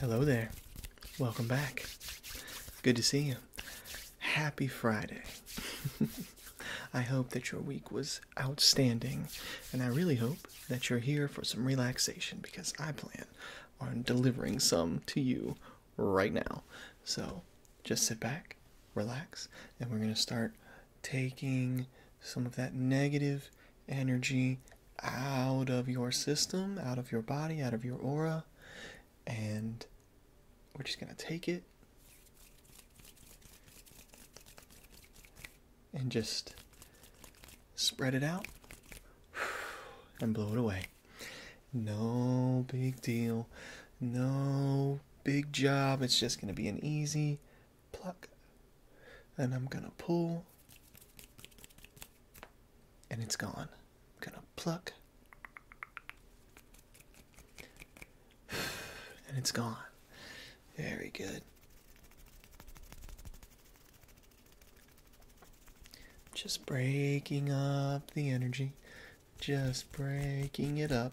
Hello there. Welcome back. Good to see you. Happy Friday. I hope that your week was outstanding, and I really hope that you're here for some relaxation because I plan on delivering some to you right now. So just sit back, relax, and we're going to start taking some of that negative energy out of your system, out of your body, out of your aura, and we're just going to take it and just spread it out and blow it away. No big deal. No big job. It's just going to be an easy pluck. And I'm going to pull. And it's gone. I'm going to pluck. And it's gone. Very good. Just breaking up the energy, just breaking it up.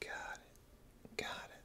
Got it. Got it.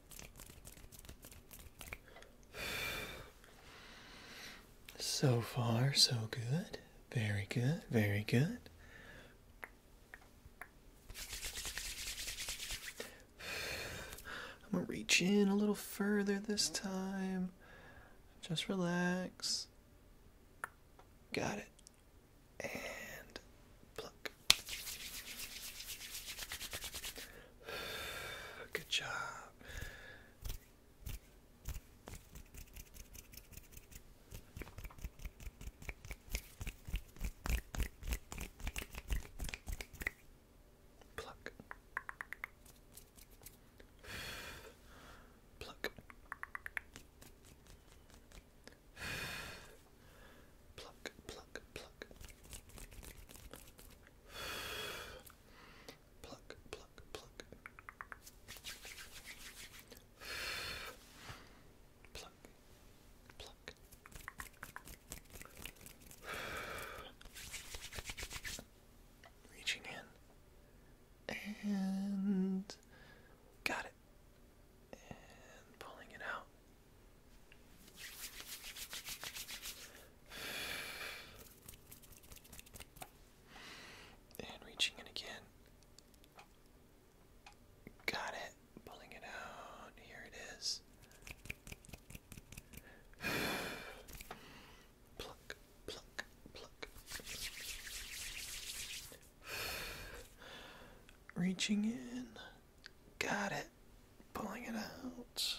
So far, so good. Very good, very good. I'm gonna reach in a little further this time. Just relax. Got it. And pluck. Good job. Pluck. Pluck. Pluck, pluck, pluck. Pluck, pluck, pluck. Pluck, pluck. Reaching in. And got it and pulling it out. And reaching in again. Got it. Pulling it out. Here it is. pluck, pluck, pluck reaching in, got it, pulling it out.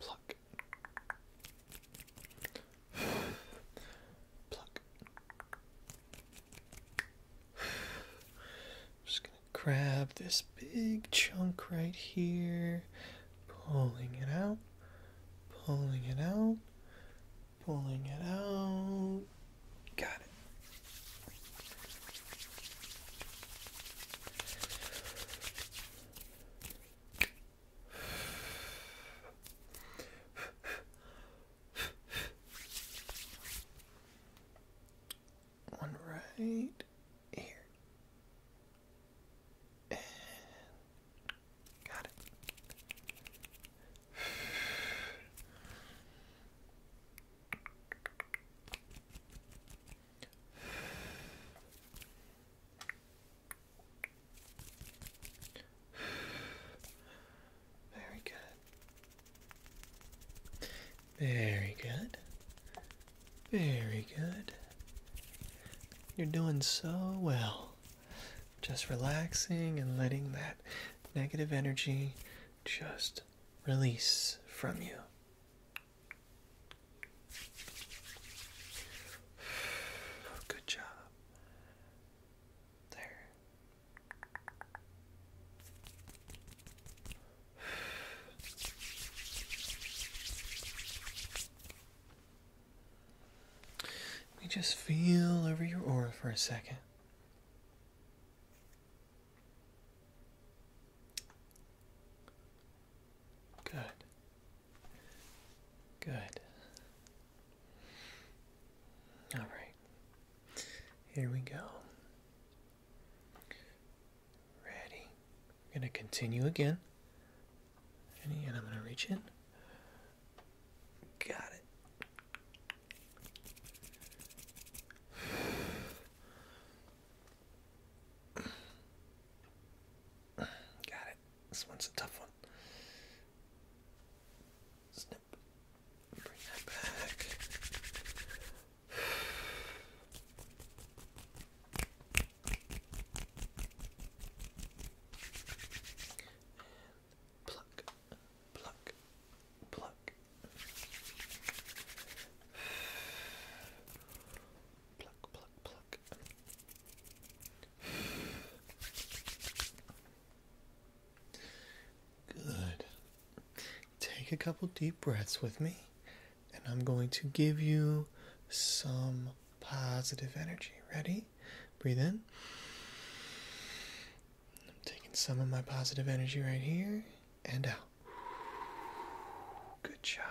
Pluck. Pluck. just gonna grab this big chunk right here, pulling it out, pulling it out, pulling it out. Got it one right here. got it. Very good. Very good. Very good. You're doing so well. Just relaxing and letting that negative energy just release from you. Good job. There. Let me just feel over your aura for a second. Good. Good. All right. Here we go. Ready. We're going to continue again. and I'm going to reach in. Got it. Got it. This one's a tough one. Bring that back. pluck, pluck, pluck. Pluck, pluck, pluck. Good. Take a couple deep breaths with me, and I'm going to give you some positive energy. Ready? Breathe in. I'm taking some of my positive energy right here and out. Good job.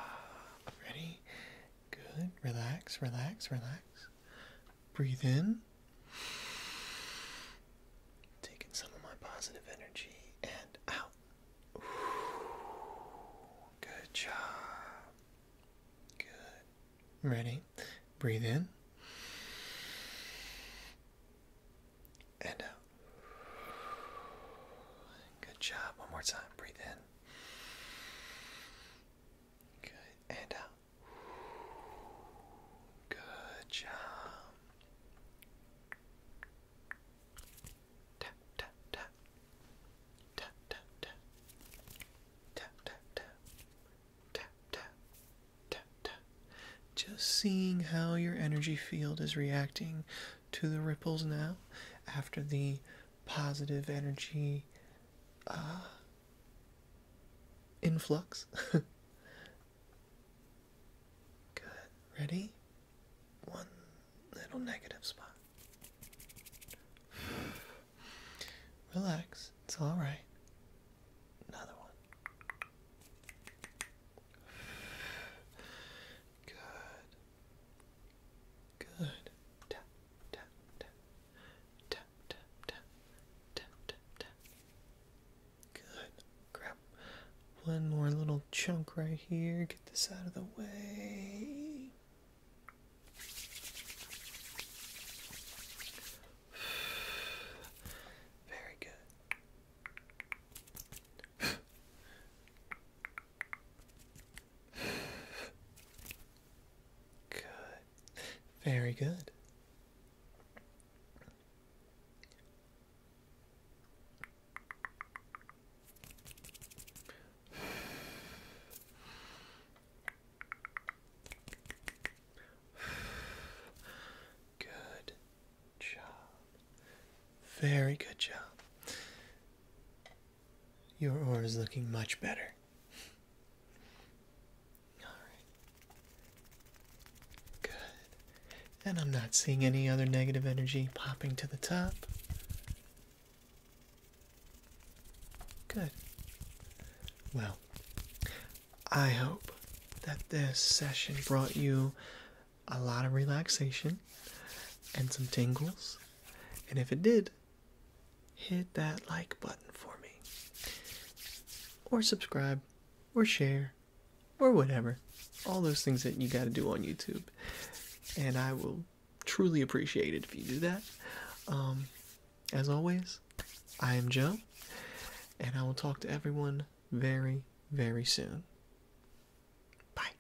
Ready? Good. Relax, relax, relax. Breathe in. Taking some of my positive energy and out. good job. Good. Ready? Breathe in. And out. Good job. One more time. Breathe in. Good. And out. Good job. Tap tap tap. Tap tap tap. Tap tap tap. Tap tap. Tap Just seeing how your energy field is reacting to the ripples now after the positive energy uh, influx. Good. Ready? One little negative spot. Relax. It's all right. Another one. Good. Good. Tap, tap, tap. Tap, tap, tap. Good. Grab one more little chunk right here. Get this out of the way. Very good. Good. Very good. Good job. Very good job. Your aura is looking much better. Alright. Good. And I'm not seeing any other negative energy popping to the top. Good. Well, I hope that this session brought you a lot of relaxation and some tingles and if it did, hit that like button for me. Or subscribe, or share, or whatever. All those things that you got to do on YouTube. And I will truly appreciate it if you do that. Um, as always, I am Joe, and I will talk to everyone very, very soon. Bye.